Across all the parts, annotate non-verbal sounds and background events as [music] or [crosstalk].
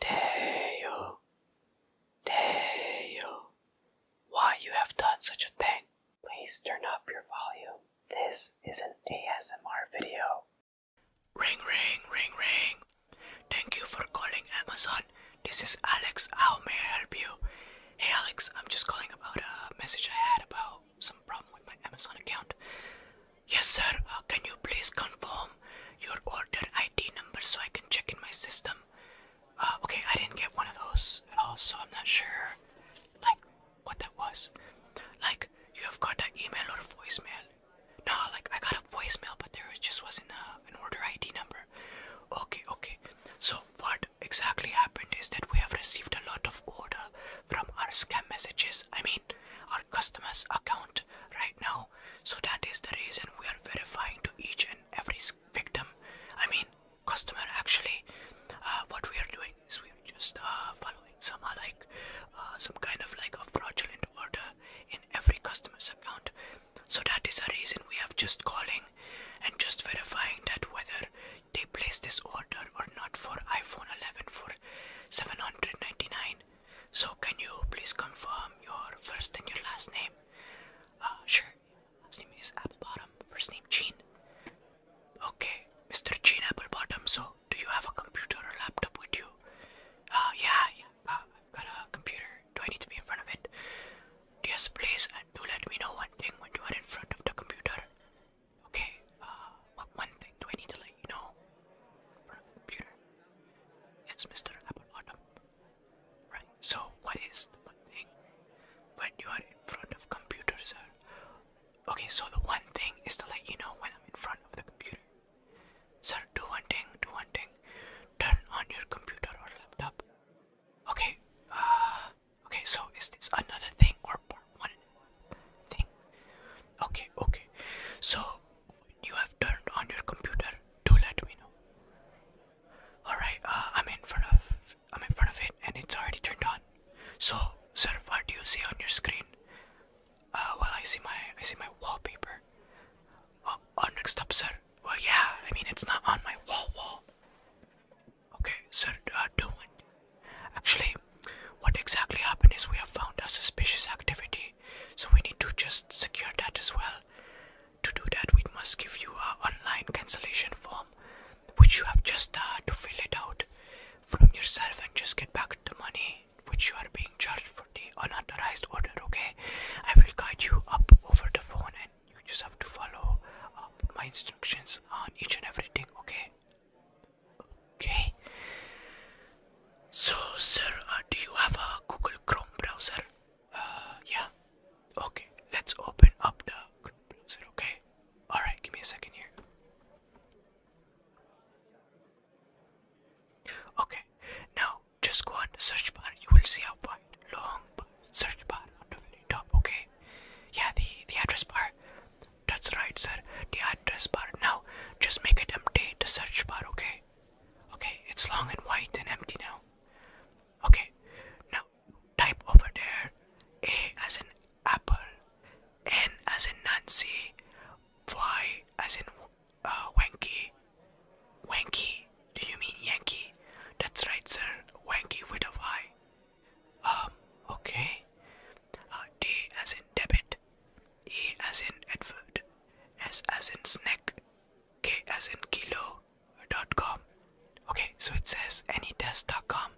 Teo, Teo, why you have done such a thing? Please turn up your volume. This is an ASMR video. Ring, ring, ring, ring. Thank you for calling Amazon. This is Alex. How may I help you? Hey, Alex, I'm just calling about a message I had about some problem with my Amazon account. Yes, sir. Uh, can you please confirm your order ID number so I can check in my system. Uh, okay, I didn't get one of those at all, so I'm not sure, like, what that was. Like, you have got an email or a voicemail. No, like, I got a voicemail, but there just wasn't a, uh, an order ID number. Okay, okay. So, what exactly happened is that we have received a lot of order from our scam messages. I mean, our customers' account right now. So that is the reason we are verifying to each and every victim. I mean, customer actually. Uh, what we are doing is we are just uh, following some uh, like uh, some kind of like a fraudulent order in every customer's account. So that is the reason we have just calling and just verifying that whether they place this order or not for iPhone 11 for 799 so can you please confirm your first and your last name? Uh, sure. Last name is Applebottom. First name Gene. Okay, Mr. Gene Applebottom. So do you have a computer or laptop with you? Uh, yeah, yeah. I've got a computer. Do I need to be in front of it? Yes, please. And do let me know one thing when you are in front of the computer. Okay. Uh, what one thing do I need to let you know? In front of the computer. Yes, Mr. Applebottom. Right. So what is the one thing when you are in front of computers, sir? Okay, so the one thing is to let you know when I'm in front of the computer. Sir, do one thing, do one thing. Turn on your computer or laptop. Okay, uh, okay, so is this another thing or part one thing? Okay, okay. So you have turned on your computer, do let me know. Alright, uh, I'm in front of I'm in front of it and it's already turned on. So sir, what do you see on your screen? Uh, well I see my I see my wallpaper. Oh, oh, next up sir. Well yeah, I mean it's not on my wall wall. Okay, sir, uh, do it. Actually, what exactly happened is we have found a suspicious activity, so we need to just secure that as well. To do that, we must give you our online cancellation form, which you have just uh, to fill it out from yourself and just get back the money which you are being charged for the unauthorized order. Okay, I will guide you up over the phone, and you just have to follow my instructions on each and everything. Okay. Okay. So, sir, uh, do you have a Google Chrome browser? yeah. Okay, let's open up the browser, okay? Alright, give me a second here. Okay, now just go on the search bar. You will see a wide, long search bar on the very top, okay? Yeah, the, the address bar. That's right, sir. The address bar. Now, just make it empty the search bar, okay? Okay, it's long and white and empty now. Okay, now type over there A as in apple, N as in Nancy, Y as in uh, Wanky. do you mean Yankee? That's right, sir. Wanky with a Y. Um, okay. Uh, D as in debit, E as in Edward, S as in snack, K as in kilo. dot com. Okay, so it says dot com.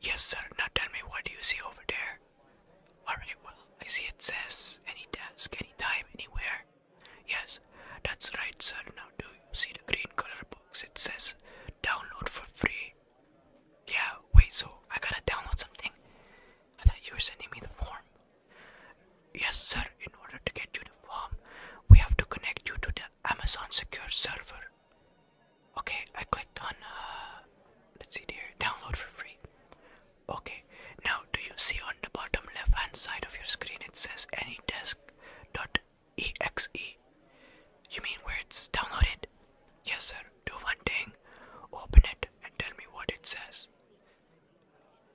Yes, sir. Now tell me what do you see over there? Alright, well, I see it says any desk, anytime, anywhere. Yes, that's right, sir. Now do you see the green color box? It says download for free. Yeah, wait, so I gotta download something? I thought you were sending me the form. Yes, sir. In order to get uniform, we have to connect you to the Amazon Secure Server. Okay, I clicked on. Uh, let's see here. Download for free. Okay. Now, do you see on the bottom left-hand side of your screen? It says Dot exe. You mean where it's downloaded? Yes, sir. Do one thing. Open it and tell me what it says.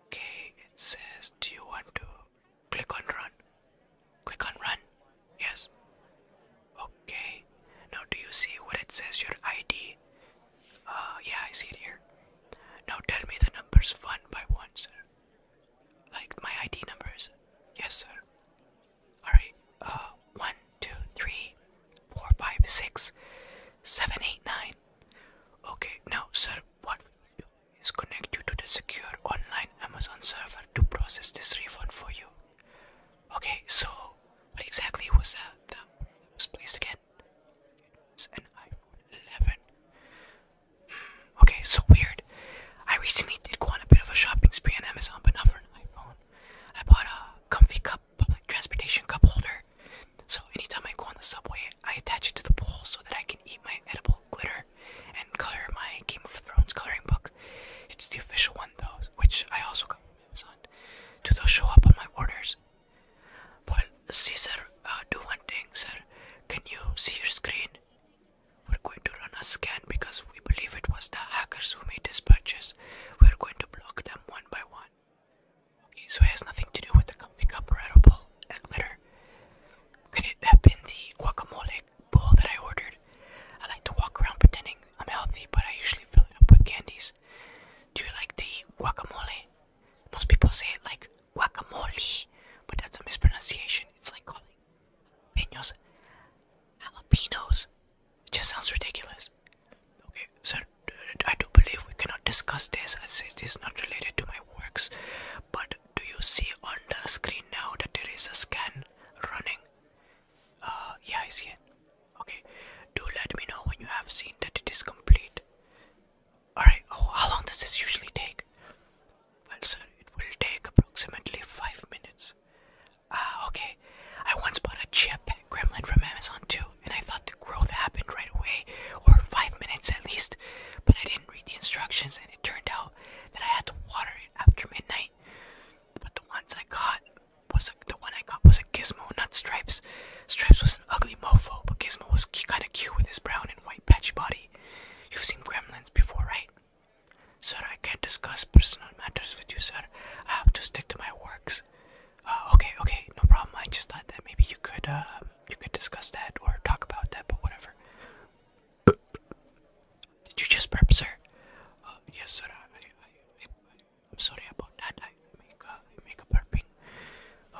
Okay, it says, do you want to click on run? Click on run. Yes. Okay. Now, do you see what it says? Your ID. Uh, yeah, I see it here. Now tell me the numbers one by one, sir. Like my ID numbers. Yes, sir. Alright, uh, 1, 2, 3, 4, 5, 6, 7, 8, 9, Okay, now sir, what we will do is connect you to the secure online Amazon server to process this refund for you. Okay, so what exactly was that that was placed again? It was an iPhone 11. Hmm, okay, so weird. I recently did go on a bit of a shopping spree on Amazon, but not for an iPhone. I bought a comfy cup, public uh, transportation cup holder, so anytime I go on the subway, I attach it to the pole so that I can eat my edible glitter and color my Game of Thrones coloring book. It's the official one though, which I also got from Amazon. Do those show up on my orders? Well, see sir, uh, do one thing sir. Can you see your screen? We're going to run a scan because we believe it was the hackers who made this purchase. We're going to block them one by one. Okay, so it has nothing to do with the comfy cup and glitter. Could it have been the guacamole bowl that I ordered? I like to walk around pretending I'm healthy, but I usually fill it up with candies. Do you like the guacamole? Most people say it like guacamole, but that's a mispronunciation. It's like calling jalapenos. Jalapenos. It just sounds ridiculous. Okay, so I do believe we cannot discuss this as it is not related to my works. But do you see on the screen now that there is a scan running? Uh, yeah, I see it. Okay, do let me know when you have seen that it is complete. Alright, oh, how long does this usually take? Well, sir, it will take approximately 5 minutes. Ah, okay. I once bought a chip Kremlin from Amazon too and I thought the growth happened right away, or five minutes at least, but I didn't read the instructions, and it turned out that I had to water it after midnight. But the ones I got was a, the one I got was a Gizmo, not Stripes. Stripes was an ugly mofo, but Gizmo was kind of cute with his brown and white patchy body. You've seen Gremlins before, right? Sir, I can't discuss personal matters with you, sir. I have to stick to my works. Uh, okay, okay, no problem. I just thought that maybe you could uh, you could discuss that or talk about that, but whatever. Did you just burp, sir? Uh, yes, sir. I, I, I, I'm sorry about that. I make uh, I make a burping.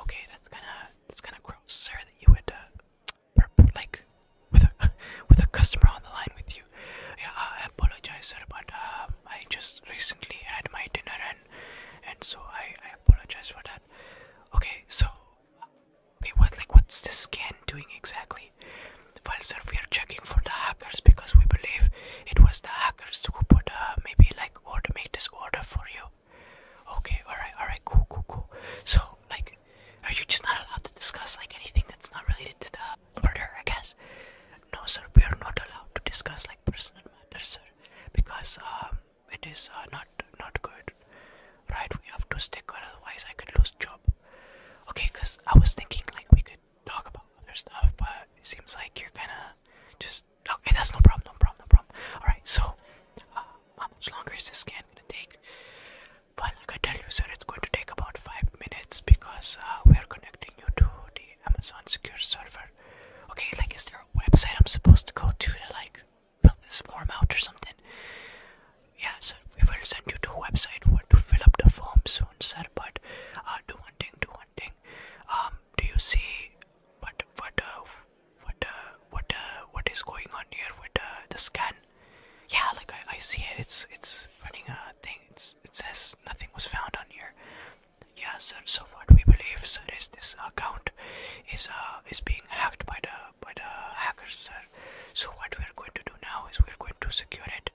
Okay, that's kind of that's kind of gross, sir. That you would uh, burp like with a [laughs] with a customer on the line with you. Yeah, I apologize, sir, but um, I just recently had my dinner and and so I, I I apologize for that. Okay, so okay, what like what's the scan doing exactly? Well, sir, we are checking for the hackers because we believe it was the hackers who put uh, maybe like order make this order for you. Okay, all right, all right, cool, cool, cool. So like, are you just not allowed to discuss like anything that's not related to the order? I guess. No, sir, we are not allowed to discuss like personal matters, sir, because um it is uh, not not good right we have to stick or otherwise i could lose job okay because i was thinking like we could talk about other stuff but it seems like you're gonna just okay that's no problem no problem no problem all right so uh, how much longer is this scan gonna take well like i tell you sir it's going to take about five minutes because uh, we are connecting you to the amazon secure server okay like is there a website i'm supposed to go to to like fill this form out or something. Yeah, so we will send you to a website where to fill up the form soon, sir. But uh, do one thing, do one thing. Um, do you see what what uh, what uh, what uh, what is going on here with uh, the scan? Yeah, like I, I see it. It's it's running a thing. It's it says nothing was found on here. Yeah, sir. So, what we believe, sir, is this account is uh, is being hacked by the by the hackers, sir. So what we are going to do now is we are going to secure it.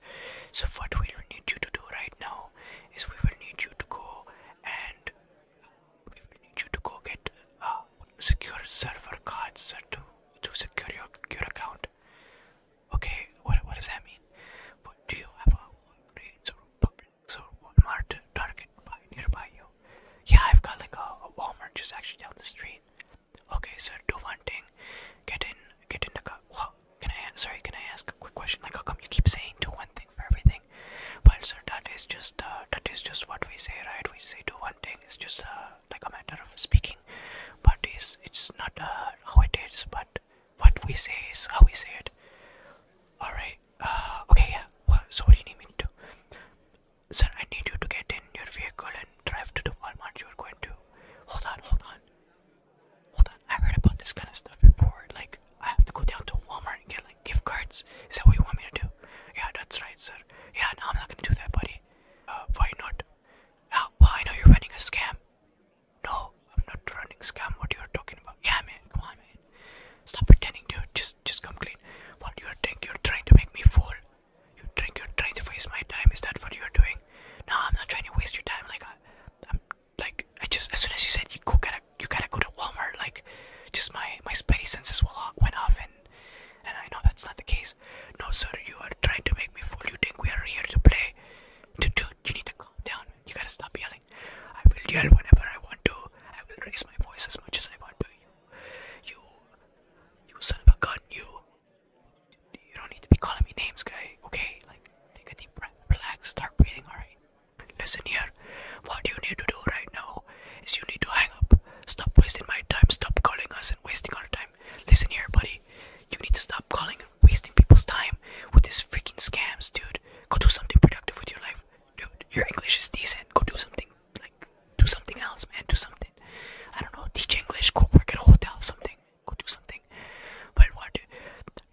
So what we will need you to do right now is we will need you to go and we will need you to go get uh, secure server cards, sir, to to secure your your account. Okay, what what does that mean? But do you have a grades so or Walmart Target by nearby you. Yeah, I've got like a, a Walmart just actually down the street. Okay, so do one thing. Get in, get in the car. Wow, can I? Sorry, can I ask a quick question? Like, how come you keep saying do one thing for everything? Well, sir, that is just uh, that is just what we say, right? We say do one thing. It's just uh, like a matter of speaking, but it's it's not uh, how it is, but what we say is how we say it. All right. [sighs] okay, yeah. What, so what do you need me to do? Sir, I need you to get in your vehicle and drive to the Walmart you are going to. Hold on, hold on. Hold on, I heard about this kind of stuff before. Like, I have to go down to Walmart and get, like, gift cards. Is that what you want me to do? Yeah, that's right, sir. Yeah, no, I'm not gonna do that, buddy. Uh, why not? Uh, well, I know you're running a scam. No, I'm not running scam. What you're talking about? Yeah, man, come on, man. Stop pretending, dude. Just, just come clean. What you are doing? You're trying to make me fool. You drink. You're trying to waste my time. Is that what you are doing? No, I'm not trying to waste your time. Like, I, am like, I just as soon as you said you go gotta, you gotta go to Walmart. Like, just my my spidey senses went off, and and I know that's not the case. No, sir, you are trying to make me fool. You think we are here to play? Dude, you need to calm down. You gotta stop yelling. I will yell whenever I want to. I will raise my voice as much as I want to. You, you son of a gun, you. You don't need to be calling me names, guy. Okay, like take a deep breath, relax, start breathing. All right. Listen here. What you need to do right now is you need to hang up. Stop wasting my time. Stop calling us and wasting our time. Listen here, buddy. You need to stop calling and wasting people's time with these freaking scams, dude. Go do something productive with your life. Dude, your English is decent. Go do something like do something else, man. Do something. I don't know. Teach English. Go work at a hotel. Something. Go do something. But what?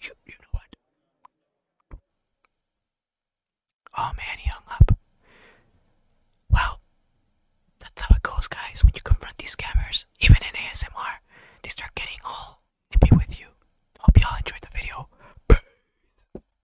You you know what? Oh man, he hung up. Well, that's how it goes, guys. When you confront these scammers, even in ASMR, they start getting all nippy with you. Hope y'all enjoyed the video.